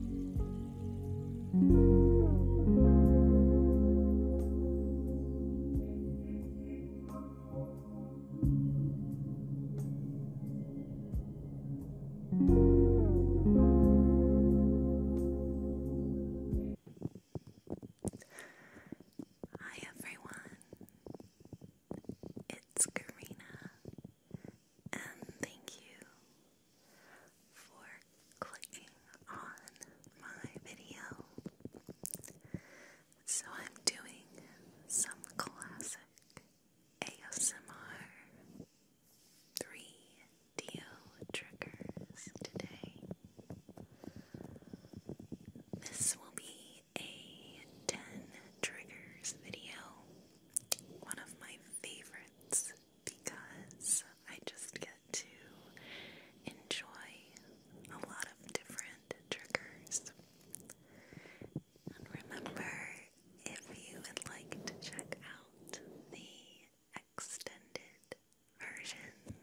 Hi everyone, it's Karina, and thank you for clicking on my video. So I'm doing some classic ASMR 3DO triggers today. This will be a 10 triggers video, one of my favorites because I just get to enjoy a lot of different triggers. And remember, if you would like to check out the extended version,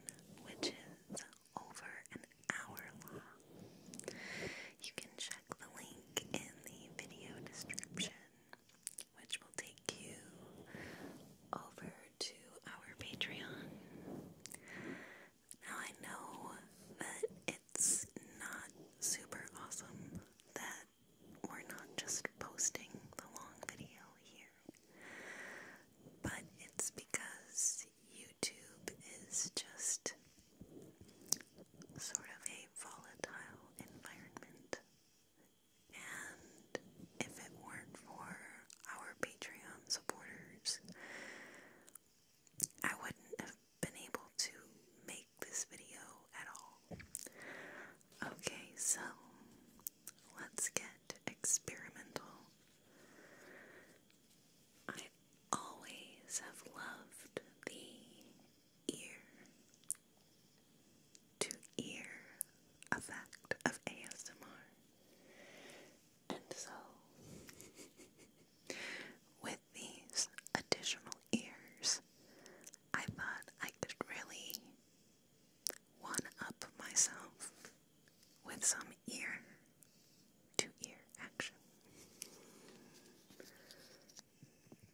which is over an hour long, you can check the link in the video description which will take you over to our Patreon. Now, I know that it's not super awesome that we're not just posting the long video here, but it's because YouTube is just sort of a volatile environment. And if it weren't for our Patreon supporters, I wouldn't have been able to make this video at all. Okay, so let's get experimental. I always have loved the ear to ear effect of ASMR. And so, with these additional ears, I thought I could really one up myself with some ear to ear action.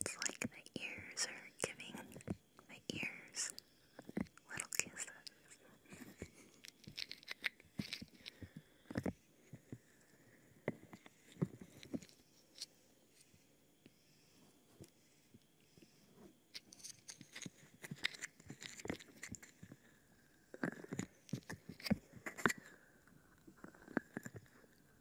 It's like the ears are giving the ears little kisses.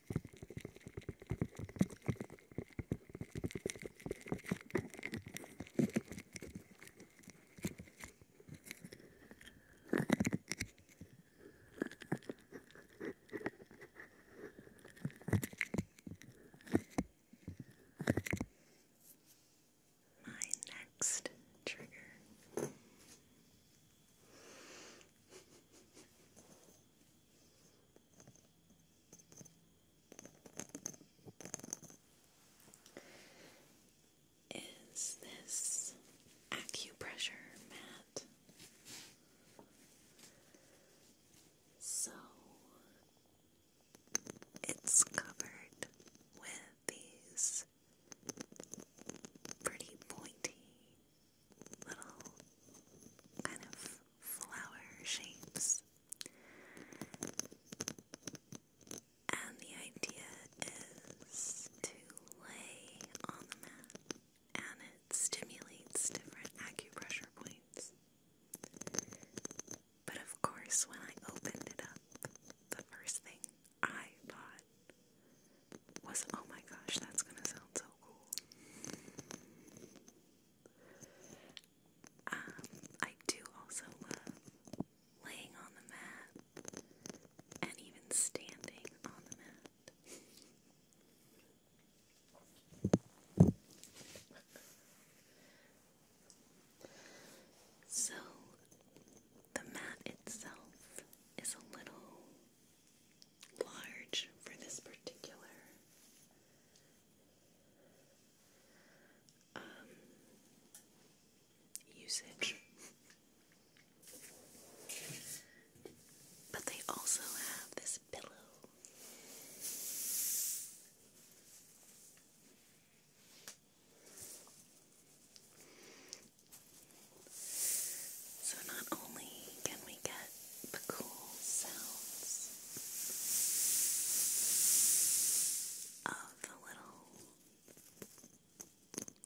My next trigger is this acupressure mat? So it's covered with these pretty pointy little kind of flower shapes. And the idea is to lay on the mat and it stimulates different acupressure points. But of course, when I opened it up, the first thing I thought was oh my gosh, that's gonna sound so cool. Um, I do also love laying on the mat and even standing on the mat. so the mat itself is a little large for this particular um, usage. But they also have this pillow. So, not only can we get cool sounds of the little,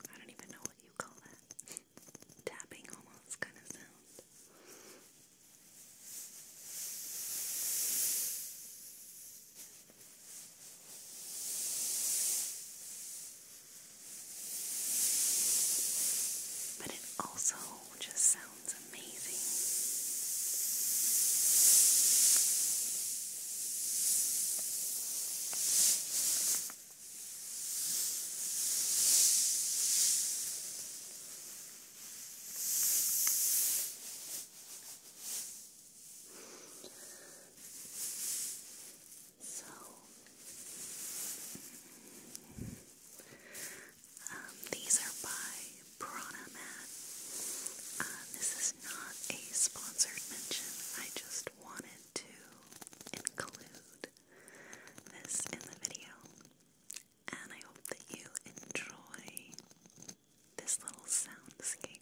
I don't even know what you call that, tapping almost kind of sound. But it also all just sounds amazing. So um, these are by Prana uh, this is not a sponsored mention. I just wanted to include this in the video. And I hope that you enjoy this little soundscape.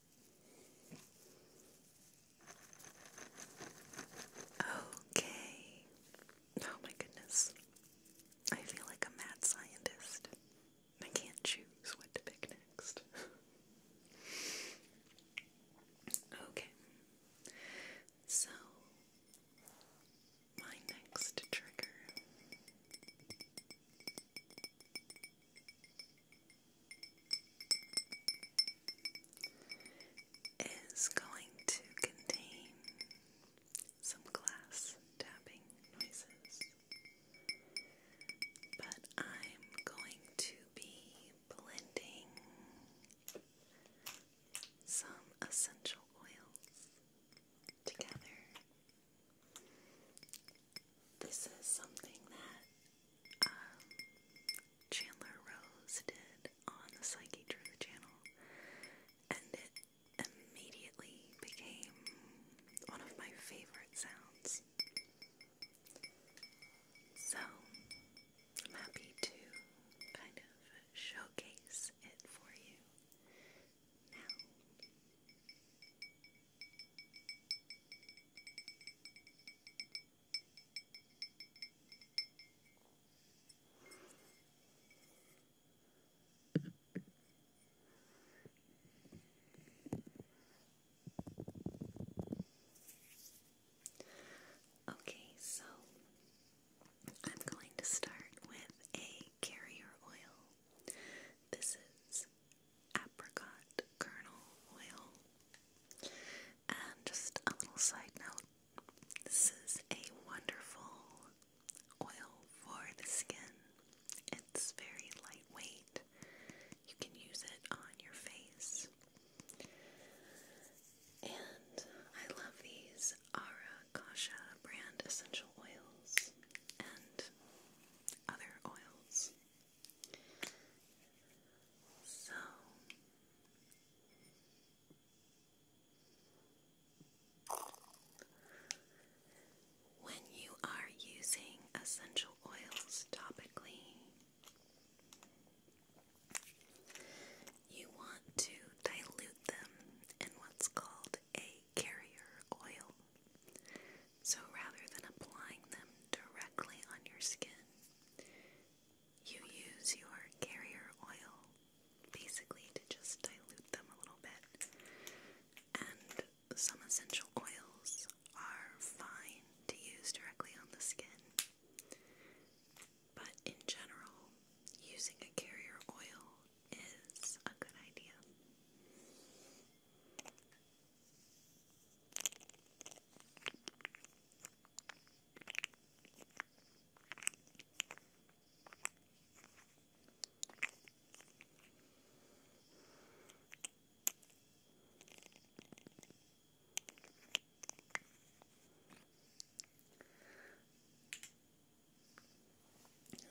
Okay. Oh my goodness. I feel like a mad scientist. I can't choose what to pick next. okay. So, my next trigger is going to contain some glass tapping noises, but I'm going to be blending some essential oils together this is something that um, Chandler Rose did on the Psyche Drew channel, and it immediately became one of my favorite sounds. So, I'm happy to kind of showcase it for you now. Okay, so I'm going to start with a carrier oil. This is apricot kernel oil. And just a little side note this is a wonderful oil for the skin. It's very lightweight. You can use it on your face. And I love these Ara Kasha brand essential oils and other oils. So when you are using essential oils topically, you want to dilute them in what's called a carrier oil. So rather than applying them directly on your skin, you use your carrier oil basically to just dilute them a little bit. And some essential oils are fine to use directly on the skin. But in general, using a carrier oil is a good idea.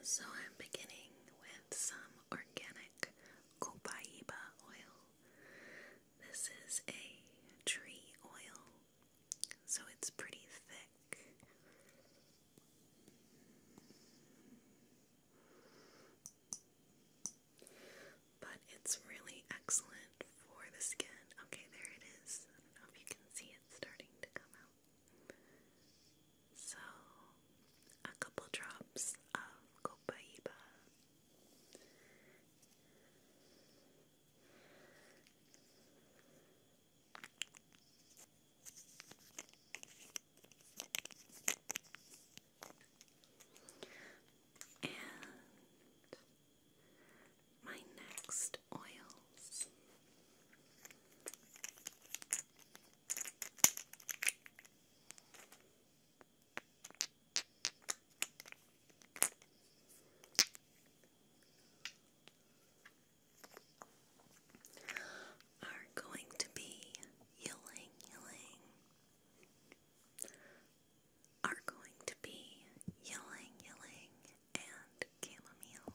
So I'm beginning with some organic copaiba oil. This is a tree oil, so it's pretty thick. But it's really excellent for the skin. Okay, there it is. I don't know if you can see it starting to come out. So, a couple drops of copaiba and my next oils are going to be yelling, yelling, are going to be yelling, yelling, and chamomile,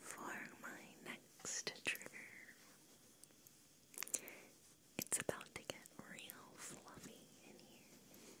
for my next trigger, it's about to get real fluffy in here.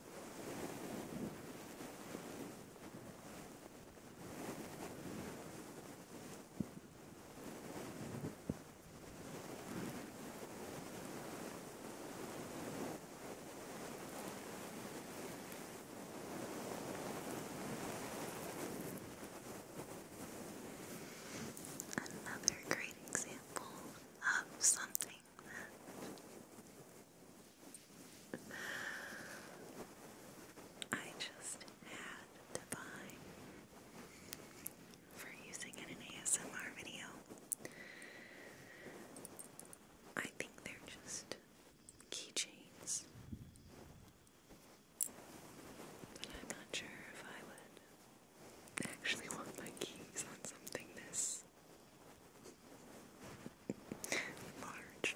Another great example of something I just had to buy for using in an ASMR video. I think they're just keychains. But I'm not sure if I would actually want my keys on something this is large.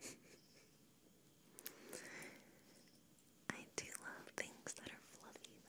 I do love things that are fluffy, though.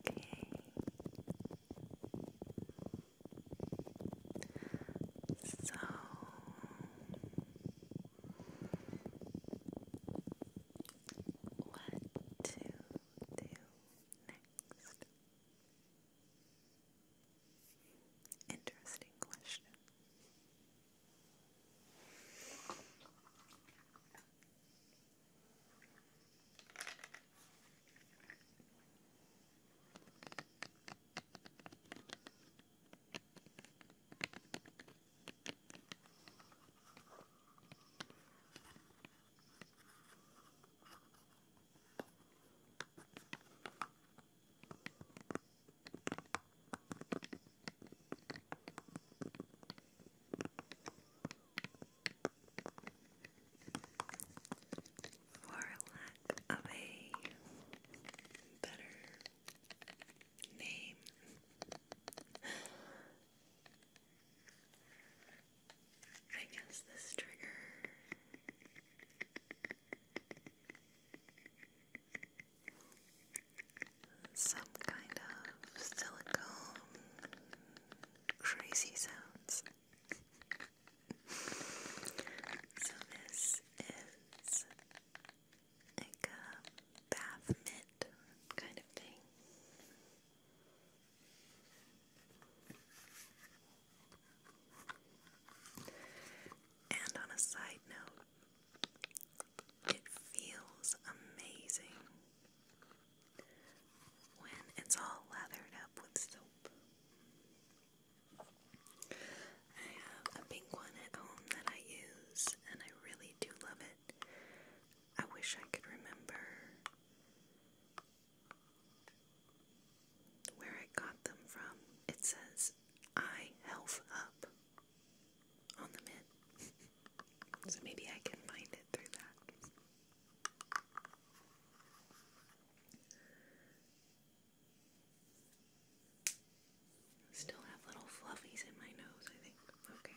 Okay. So what to do next? Interesting question. For lack of a better name, I guess this trigger some kind of silicone crazy sounds. so this is like a bath mitt kind of thing. And on a side note, it feels amazing when it's all lathered up with soap. I have a pink one at home that I use, and I really do love it. I wish I could remember where I got them from, it says I Health Up on the mid. so maybe I can find it through that. Still have little fluffies in my nose, I think. Okay.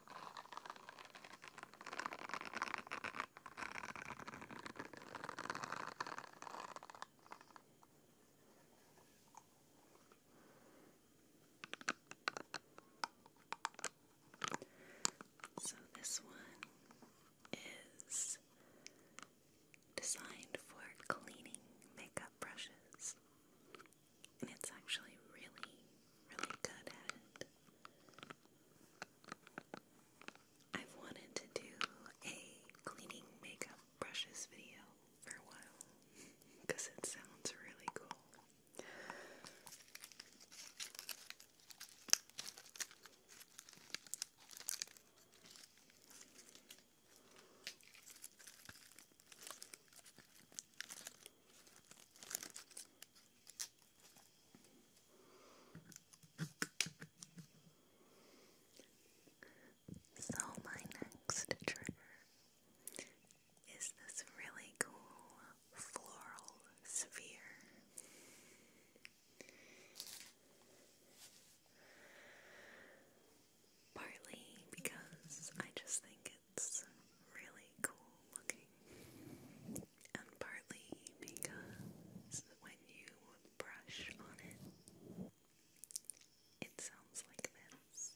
So, this one is designed for cleaning makeup brushes, and it's actually really, really good at it. I've wanted to do a cleaning makeup brushes video for a while because it sounds really cool. So, my next trigger is this really cool floral sphere. Partly because I just think it's really cool looking and partly because when you brush on it, it sounds like this.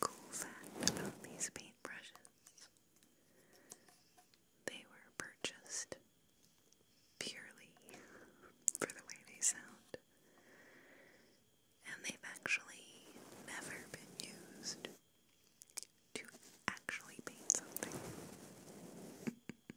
Cool fact about these paintbrushes they were purchased purely for the way they sound, and they've actually never been used to actually paint something.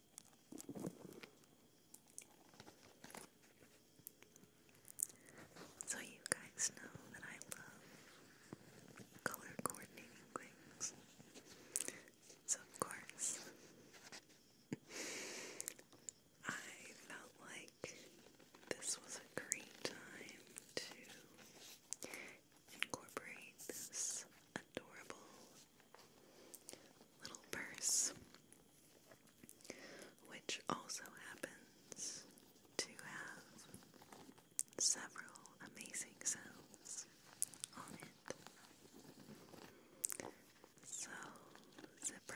So, you guys know that I love color coordinating things. So, of course, I felt like this was a great time to incorporate this adorable little purse which also happens to have several amazing sounds on it. So, zipper.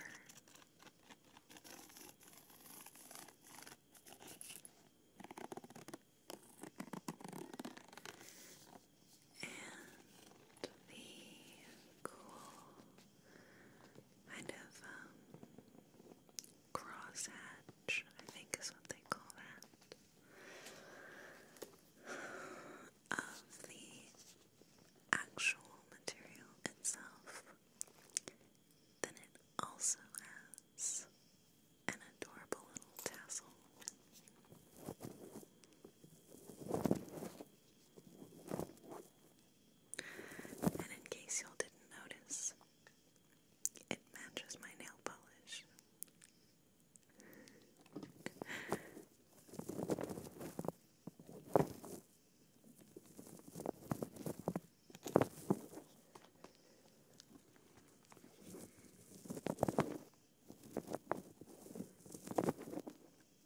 And the cool kind of um, crosshatch, I think is what they call that, of the actual material itself. Then it also has an adorable little tassel. And in case y'all didn't notice, it matches my nail polish.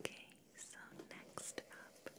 Okay, so next up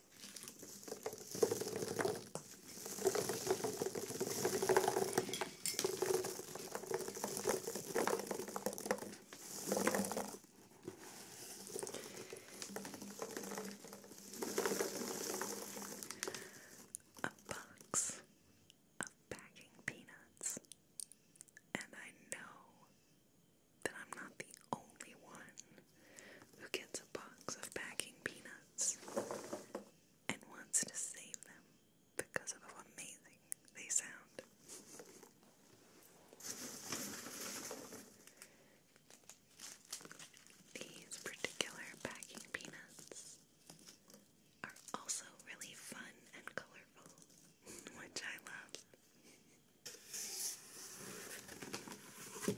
A box of packing peanuts, and I know that I'm not the only one who gets a box of packing peanuts and wants to save them because of how amazing they sound. These particular packing peanuts are also really fun and colorful, which I love.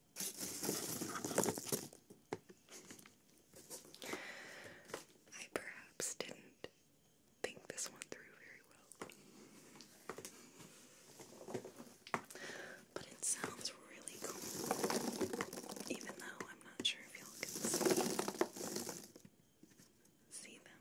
I perhaps didn't think this one through very well. But it sounds really cool, even though I'm not sure if y'all can see, them.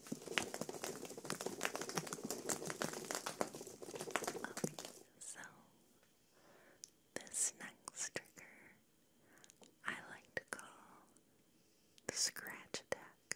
Okay, so this next trigger I like to call the scratch attack.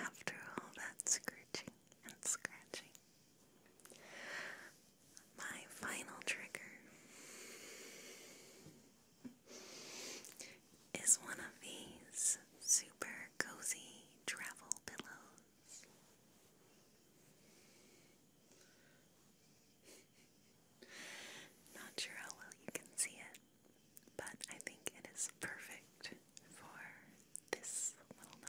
after all that scratching and scratching. My final trigger is one of these super cozy travel pillows. Not sure how well you can see it, but I think it is perfect for this little number.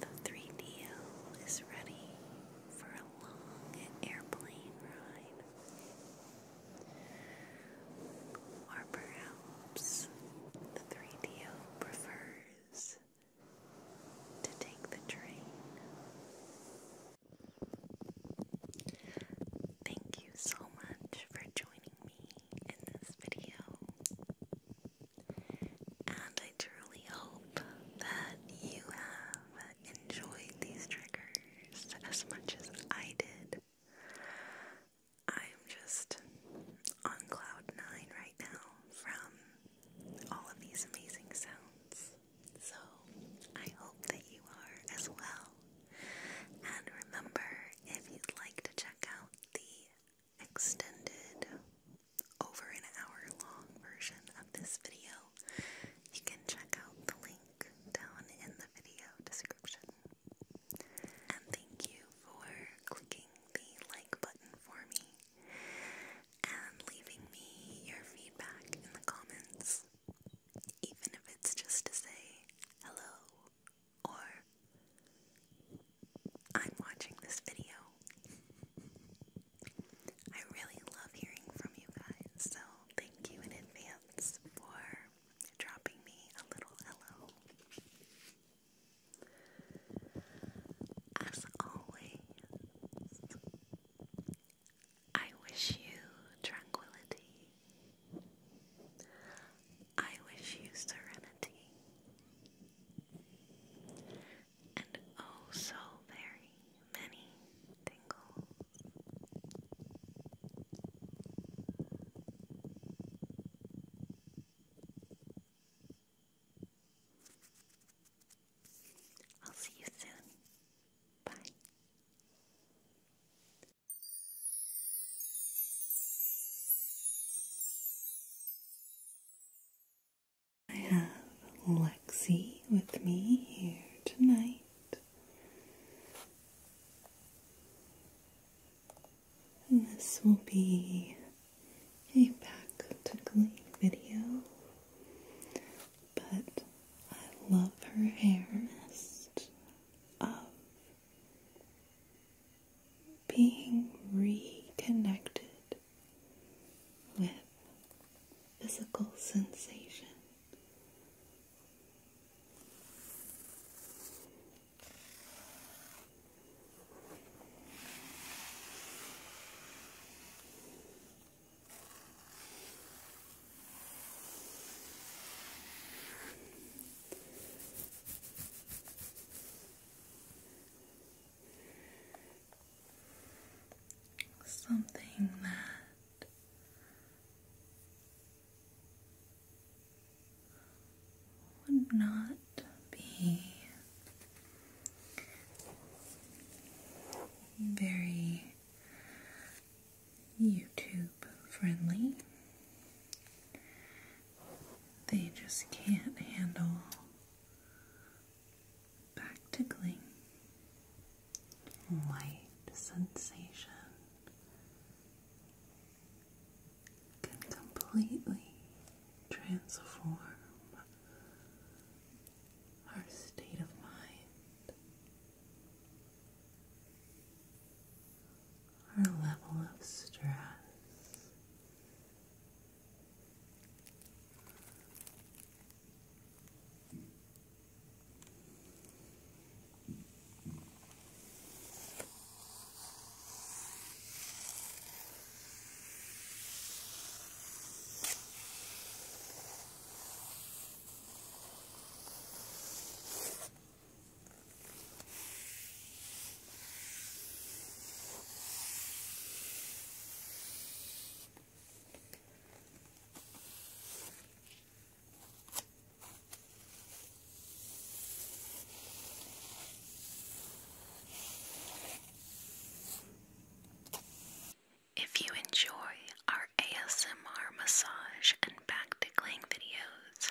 The 3DO is ready for a long airplane ride. Or perhaps the 3DO prefers to take the train. Thank you so much for joining me in this video. And I truly hope that you have enjoyed these triggers as much as I did. I'm just on cloud nine right now from all of these amazing sounds. So I hope that you are as well. And remember, if you'd like to check out the extended, over an hour long version of this video, you can check out the link down in the video description. And thank you for clicking the like button for me and leaving me your feedback in the comments even if it's just to say hello or I'm watching this video. I really love hearing from you guys, so thank you in advance for dropping me a little hello. As always, I wish you tranquility I wish you serenity and oh so very many tingles. I'll see you soon. Bye. I have Lexi with me here tonight. And this will be a back to Glee video, but I love her hair mist of being reconnected with physical sensation. Something that would not be very YouTube friendly. They just can't handle back tickling. Light sensation can completely transform our state of mind our level of stress. If you enjoy our ASMR massage and back tickling videos,